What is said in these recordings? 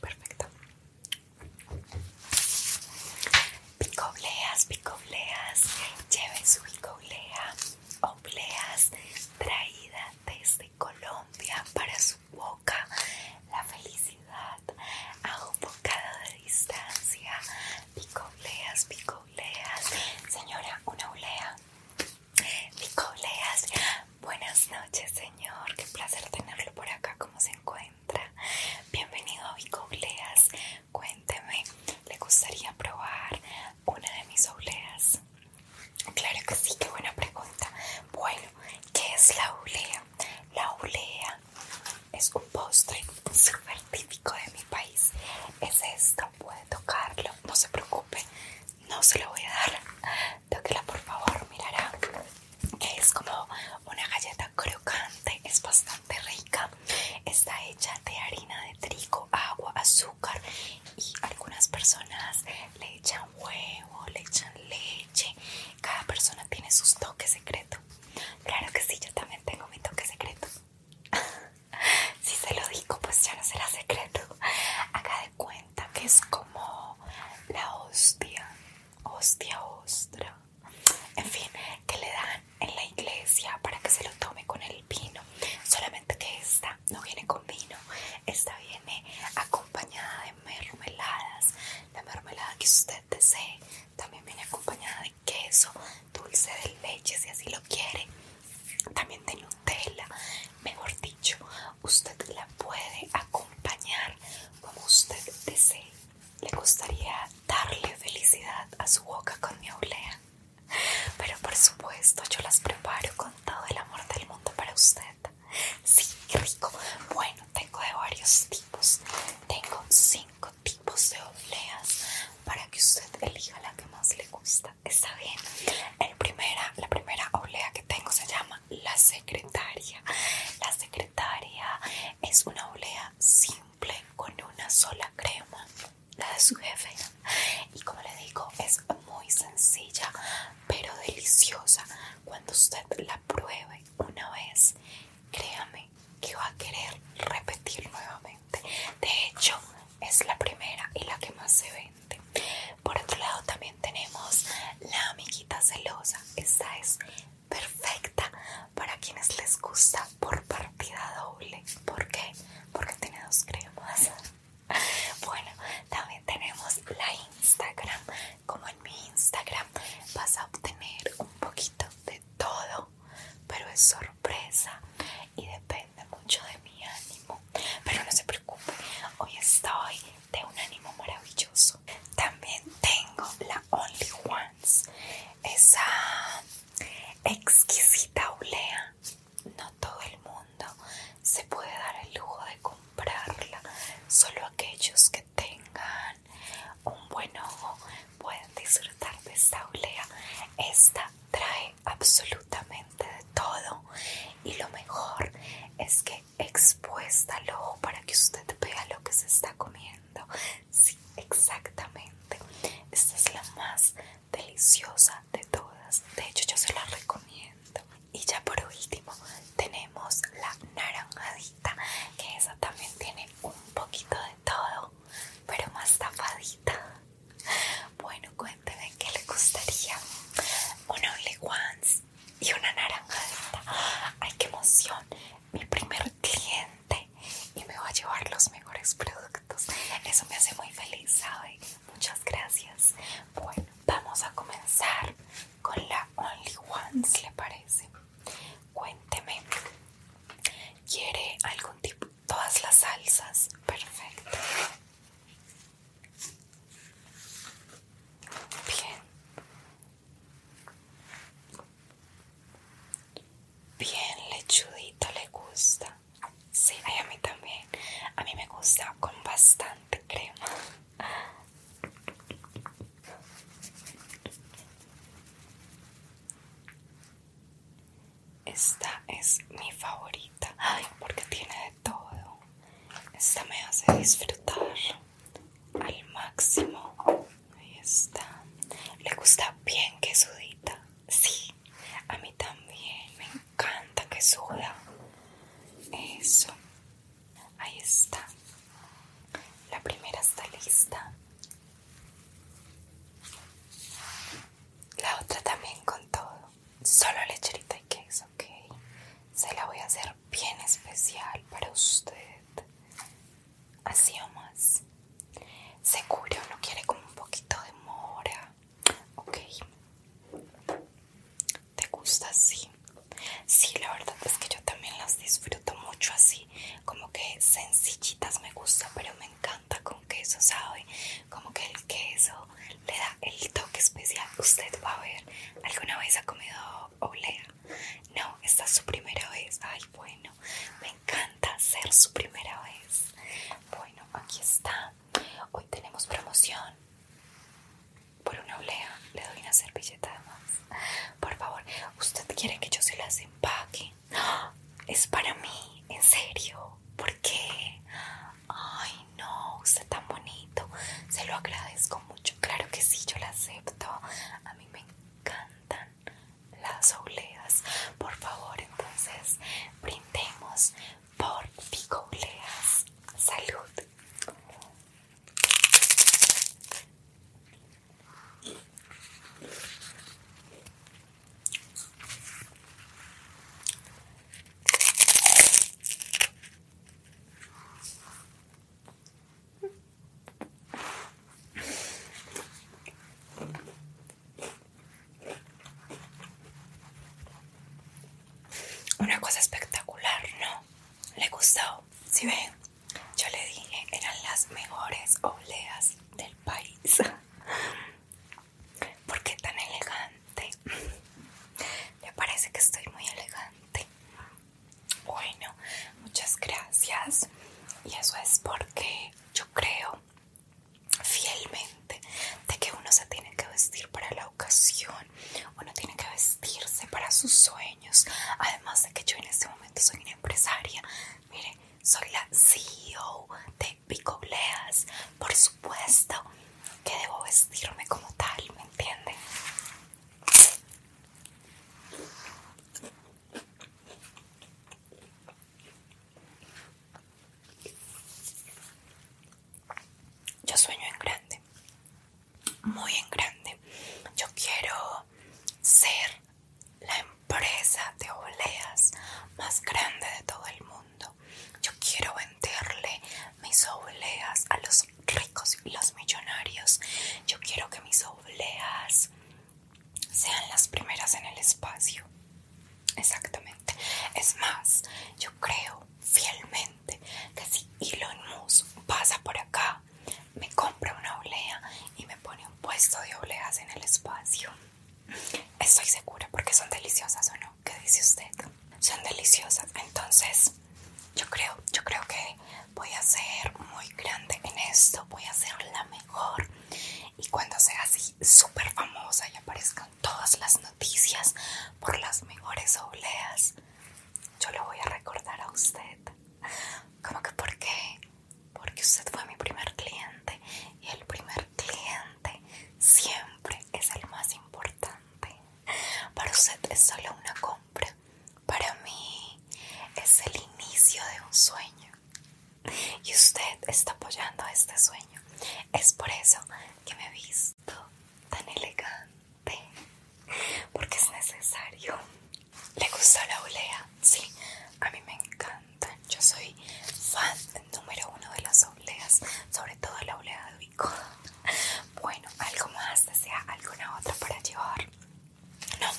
Perfecto. Picobleas, picobleas, lleven su picoblea, obleas traída desde Colombia para su boca la felicidad a un bocado de distancia. Señora, una olea. Picobleas. Buenas noches, señor. Qué placer tenerlo por acá. ¿Cómo se encuentra? Bienvenido a Picobleas. Cuénteme, ¿le gustaría probar una de mis uleas? Claro que sí, qué buena pregunta. Bueno, ¿qué es la ulea? La ulea es un postre súper típico de mi país. Es esto, puede tocarlo, no se preocupe, no se lo voy a dar. Tóquela por favor, mirará. Es como una galleta crocante, es bastante rica. Está hecha de harina de trigo, agua, azúcar y algunas personas le echan huevo, le echan leche cada persona tiene sus toques secreto. Claro que sí, yo también tengo mi toque secreto. si se lo digo, pues ya no será secreto. acá de cuenta que es como la hostia, hostia, ostra. En fin, que le dan en la iglesia para que se lo tome con el vino. Solamente que esta no viene con vino, esta viene acompañada de mermeladas, la mermelada que usted desee. También viene acompañada de queso, dulce de leche si así lo quiere. También de Nutella. Mejor dicho, usted la puede acompañar como usted desee. Le gustaría darle felicidad a su boca con mi olea. Pero por supuesto, yo las preparo con todo el amor del mundo para usted. Sí, rico. Bueno, tengo de varios tipos. Tengo cinco tipos de obleas para que usted elija la que más le gusta. Está bien. El primera, la primera oblea que tengo se llama la secretaria. La secretaria es una oblea simple con una sola crema, la de su jefe. Y como le digo, es muy sencilla, pero deliciosa. Cuando usted la pruebe una vez, créame que va a querer repetir nuevamente. De hecho, es la primera y la que más se vende. Por otro lado, también tenemos la amiguita celosa. Esta es perfecta para quienes les gusta por partida doble. ¿Por qué? Porque tiene dos cremas. Bueno, también tenemos la Instagram como en mi Instagram, vas a obtener un poquito de todo, pero es sorpresa y depende mucho de mi ánimo. Pero no se preocupe, hoy estoy de un ánimo maravilloso. También tengo la Only Ones, esa exquisita olea. No todo el mundo se puede dar el lujo de comprarla, solo aquellos que tengan un buen ojo pueden disfrutar de esta olea. Esta trae absolutamente de todo y lo mejor es que expuesta al ojo para que usted vea lo que se está comiendo. Sí, exactamente. Esta es la más deliciosa de todas. De hecho, yo se la recomiendo. Y ya por último tenemos la naranjadita, que esa también tiene un poquito de todo, pero más tapadita. Bueno, cuéntenme qué le gustaría. Un Only Ones y una naranjadita. ¡Ay, qué emoción! Mi primer cliente y me va a llevar los mejores productos. Eso me hace muy feliz, ¿sabe? Muchas gracias. Bueno, vamos a comenzar con la Only Ones, ¿le parece? Cuénteme, ¿quiere algún tipo? Todas las salsas, perfecto. Bien. Bien, lechudito le gusta. Sí, a mí también. A mí me gusta con bastante esta es mi favorita, porque tiene de todo. Esta me hace disfrutar al máximo. Ahí está. Le gusta bien que sudita. Sí, a mí también me encanta que suda. Eso. Ahí está. La primera está lista. La otra también con todo. Solo lecherita y queso, ok. Se la voy a hacer bien especial para usted. Así o más. Seguro no quiere como un poquito de mora. Ok. ¿Te gusta así? Sí, la verdad es que yo también las disfruto mucho así, como que sencillitas me gusta, pero me encanta con queso, ¿sabe? Como que el queso le da el toque especial. Usted va a ver, ¿alguna vez ha comido olea? No, esta es su primera vez. Ay, bueno, me encanta ser su primera vez. Bueno, aquí está. Hoy tenemos promoción por una olea le doy una servilleta más Por favor, ¿usted quiere que yo se las empaque? ¡Ah! Es para mí, en serio. ¿Por qué? Ay, no, usted tan bonito. Se lo agradezco mucho. Claro que sí, yo la acepto. A mí me encantan las oleas Por favor, entonces, brindemos por Figo Salud. Una cosa espectacular, ¿no? le gustó. Si ¿Sí ven, yo le dije, eran las mejores obleas del país. ¿Por qué tan elegante? Me parece que estoy muy elegante. Bueno, muchas gracias. Y eso es porque yo creo fielmente de que uno se tiene que vestir para la ocasión uno tiene que vestirse para sus sueños. Además de que yo en este momento soy una empresaria. Mire, soy la CEO de Picobleas. Por supuesto que debo vestirme como tal, ¿me entienden? yo sueño en grande, muy en grande. Yo quiero ser la empresa de obleas más grande de todo el mundo. Yo quiero venderle mis obleas a los ricos y los millonarios. Yo quiero que mis obleas sean las primeras en el espacio. Exactamente. Es más, yo creo fielmente que si Elon Musk pasa por acá, me compra una oblea y me pone un puesto de obleas en el espacio. Estoy segura porque son deliciosas o no. ¿Qué dice usted? Son deliciosas. Entonces, yo creo, yo creo que voy a ser muy grande en esto. Voy a ser la mejor. Y cuando sea así, súper famosa y aparezca todas las noticias por las mejores obleas. Yo le voy a recordar a usted. como que por qué? Porque usted fue mi primer cliente y el primer cliente siempre es el más importante. Para usted es solo una compra. Para mí es el inicio de un sueño. Y usted está apoyando este sueño. Es por eso que me viste tan elegante porque es necesario. ¿Le gustó la olea? Sí, a mí me encanta. Yo soy fan número uno de las oleas, sobre todo la olea de Vico. Bueno, algo más, desea alguna otra para llevar. No,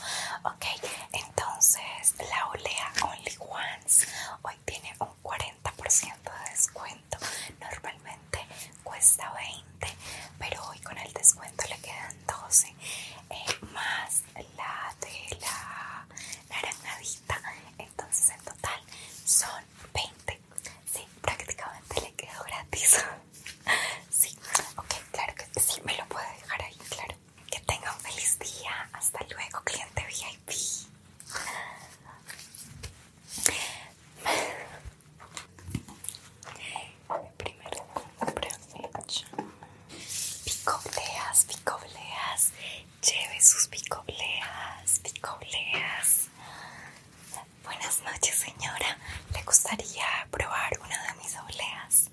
ok, entonces la olea Only Once hoy tiene un 40% de descuento. Normalmente cuesta 20, pero hoy con el descuento le quedan 12 eh, más la de la Entonces en total son 20. Sí, prácticamente le quedó gratis. sí, ok, claro que sí, me lo puede dejar ahí, claro. Que tenga un feliz día. Hasta luego, cliente VIP. Mi primer Picobleas, picobleas. Lleve sus picobleas, picobleas. Buenas noches, señora. ¿Le gustaría probar una de mis obleas?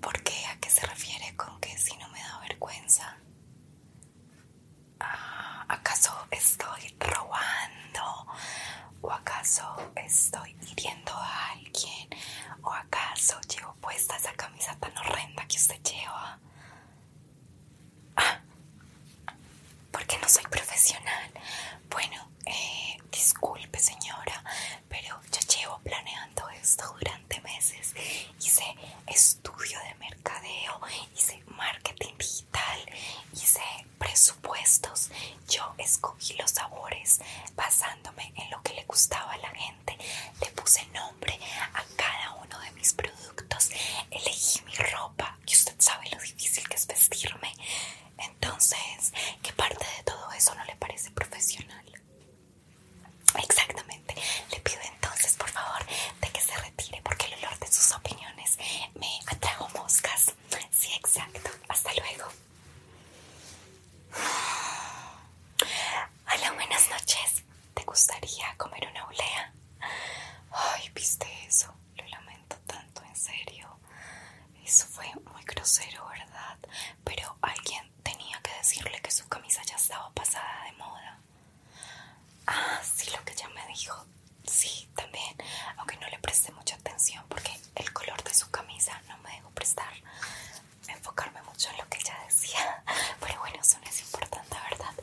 ¿Por qué? ¿A qué se refiere con que si no me da vergüenza? Ah, ¿acaso estoy robando? ¿O acaso estoy hiriendo a alguien? ¿O acaso llevo puesta esa camisa tan horrenda que usted lleva? Ah, porque no soy profesional. Bueno, eh, disculpe señora, pero yo llevo planeando esto durante meses. Hice estudio de mercadeo, hice marketing digital, hice presupuestos. Yo escogí los sabores basándome en lo que le gustaba a la gente. Le puse nombre a cada uno de mis productos. Elegí mi ropa, y usted sabe lo difícil que es vestirme. Entonces, ¿qué parte de todo eso no le parece profesional? Exactamente. Le pido entonces, por favor, de que se retire porque el olor de sus opiniones me atrajo moscas. Sí, exacto. Hasta luego. Hola, buenas noches. ¿Te gustaría comer una olea? Ay, ¿viste eso? Lo lamento tanto, en serio. Eso fue muy grosero, ¿verdad? Pero alguien tenía que decirle que su camisa ya estaba pasada de moda. Ah, sí, lo que ella me dijo. Sí, también. Aunque no le presté mucha atención porque el color de su camisa no me dejó prestar, enfocarme mucho en lo que ella decía. Pero bueno, eso no es importante, ¿verdad?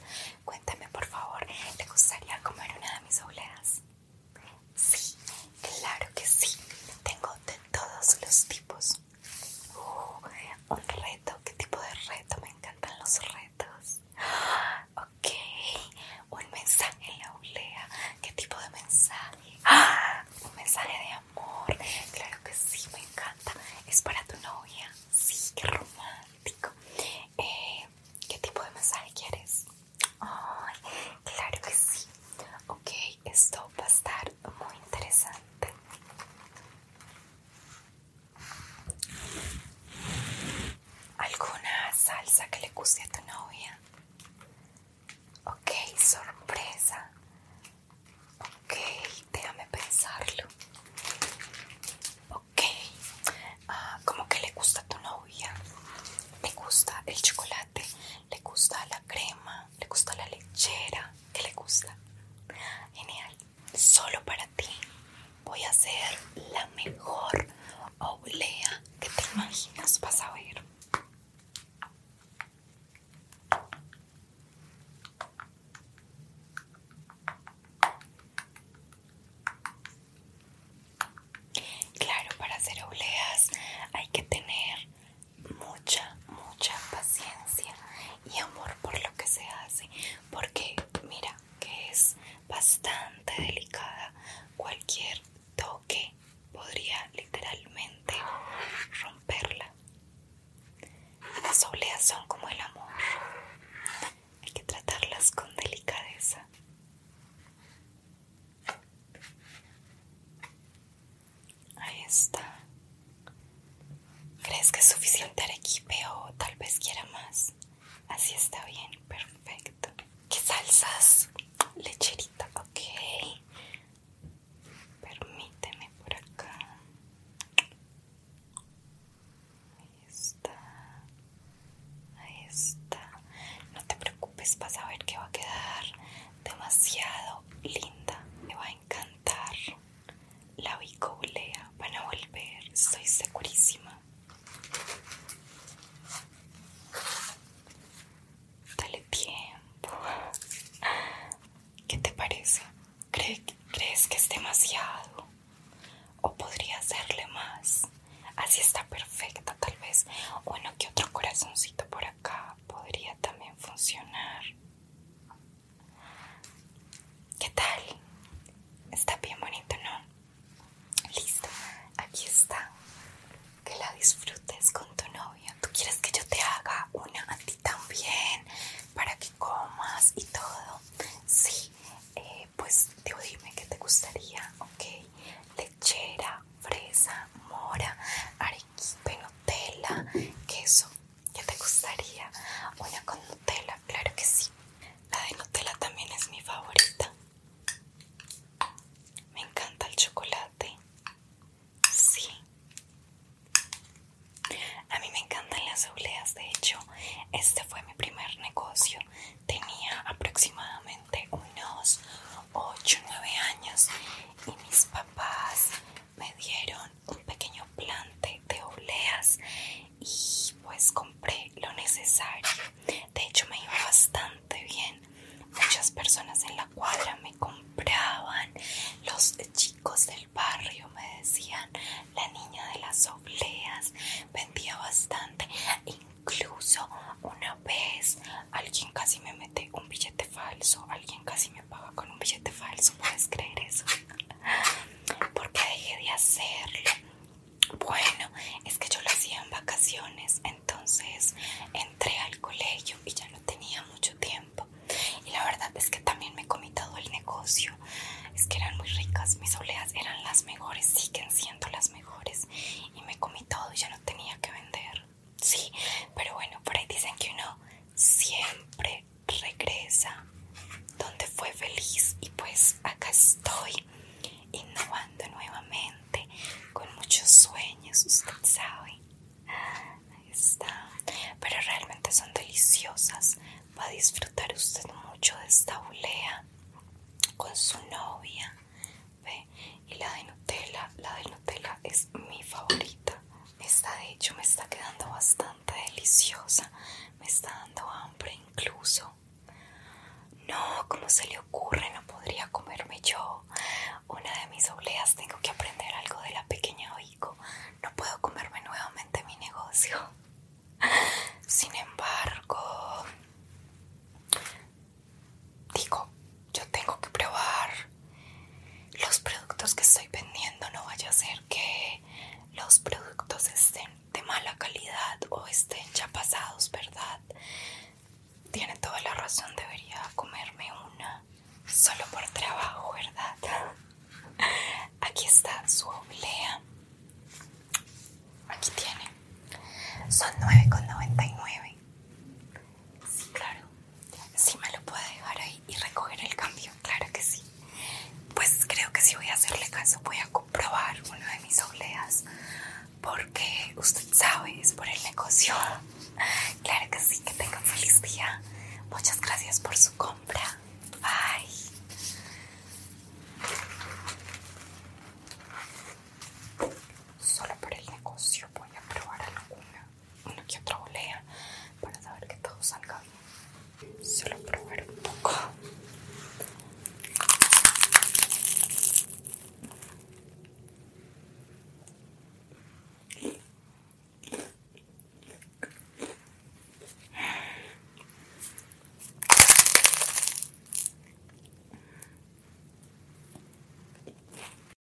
Cuéntame, por favor, ¿te gustaría comer una de mis obleas? Sí, claro que sí. Tengo de todos los tipos. Uh, un reto, ¿qué tipo de reto? Me encantan los retos. Ok, un mensaje en la ¿qué tipo de mensaje? un mensaje de amor, claro que sí, me encanta. Es para tu novia, sí, qué romántico. Eh, ¿Qué tipo de mensaje quieres? Ay, claro que sí. Ok, esto va a estar muy interesante. ¿Alguna salsa que le guste a tu novia? Ok, sorpresa. Ok, déjame pensarlo. Ok, ah, ¿cómo que le gusta a tu novia? ¿Le gusta el chocolate? ¿Le gusta la crema? ¿Le gusta la lechera? ¿Qué le gusta? Genial solo para ti voy a hacer la mejor oblea que te imaginas. Vas a ver. Claro, para hacer obleas hay que tener mucha mucha paciencia y amor por lo que se hace, porque mira que es bastante delicada. Cualquier toque podría literalmente romperla. Las oleas son como el amor. Hay que tratarlas con delicadeza. Ahí está. ¿Crees que es suficiente arequipe o tal vez quiera más? Así está bien, perfecto. ¿Qué salsas? Lecherita, ok. Permíteme por acá. Ahí está. Ahí está. No te preocupes, vas a ver que va a quedar demasiado linda. me va a encantar. La bicobulea, van a volver, estoy segurísima. Dale tiempo. ¿Qué te parece? ¿Crees que es demasiado? ¿O podría hacerle más? Así está perfecta, tal vez. Bueno, que otro corazoncito por acá podría también funcionar. ¿Qué tal? Está bien bonito, ¿no? Listo, aquí está. Que la disfrutes con tu novia. ¿Tú quieres que yo te haga una a ti también? Para que comas y todo. Sí, eh, pues te dime qué te gustaría, ¿ok? Lechera, fresa, mora, arequipe, Nutella, queso ¿ya te gustaría? Una con Nutella, claro que sí. La de Nutella también es mi favorita. Me encanta el chocolate. Sí. A mí me encantan las obleas, de hecho, este fue mi primer negocio. Tenía aproximadamente unos 8 o 9 años y mis papás me dieron un pequeño plante de obleas y pues compré lo necesario. De hecho me iba bastante bien. Muchas personas en la cuadra me compraban, los chicos del barrio me decían, la niña de las obleas vendía bastante. Incluso una vez alguien casi me un billete falso. Alguien casi me paga con un billete falso. ¿Puedes creer eso? Porque dejé de hacerlo. Bueno, es que yo lo hacía en vacaciones. Entonces entré al colegio y ya no tenía mucho tiempo. Y la verdad es que también me comí todo el negocio. Es que eran muy ricas. Mis oleas eran las mejores. Siguen siendo las mejores. Y me comí todo y ya no tenía que vender sí, pero bueno, por ahí dicen que uno siempre regresa donde fue feliz y pues acá estoy innovando nuevamente con muchos sueños, usted sabe. Ahí está. Pero realmente son deliciosas. Va a disfrutar usted mucho de esta bulea con su novia. ¿Ve? Y la de Nutella, la de Nutella es mi favorita. Esta de hecho me está quedando bastante deliciosa. Me está dando hambre incluso. No, ¿cómo se le ocurre? No podría comerme yo una de mis obleas. Tengo que aprender algo de la pequeña Oico. No puedo comerme nuevamente mi negocio. Sin embargo, digo, yo tengo que probar los productos que estoy vendiendo, no vaya a ser que los productos estén de mala calidad o estén ya pasados, ¿verdad? Tiene toda la razón, debería comerme una solo por trabajo, ¿verdad? Aquí está su oblea. Aquí tiene. Son 9,99. Sí, claro. Sí, me lo puede dejar ahí y recoger el cambio, claro que sí. Pues creo que si voy a hacerle caso, voy a comprobar uno de mis obleas porque usted sabe, es por el negocio. Claro que sí, que tenga feliz día. Muchas gracias por su compra. Bye. Solo por el negocio voy a probar alguna uno que otra volea para saber que todo salga bien. Solo probar un poco.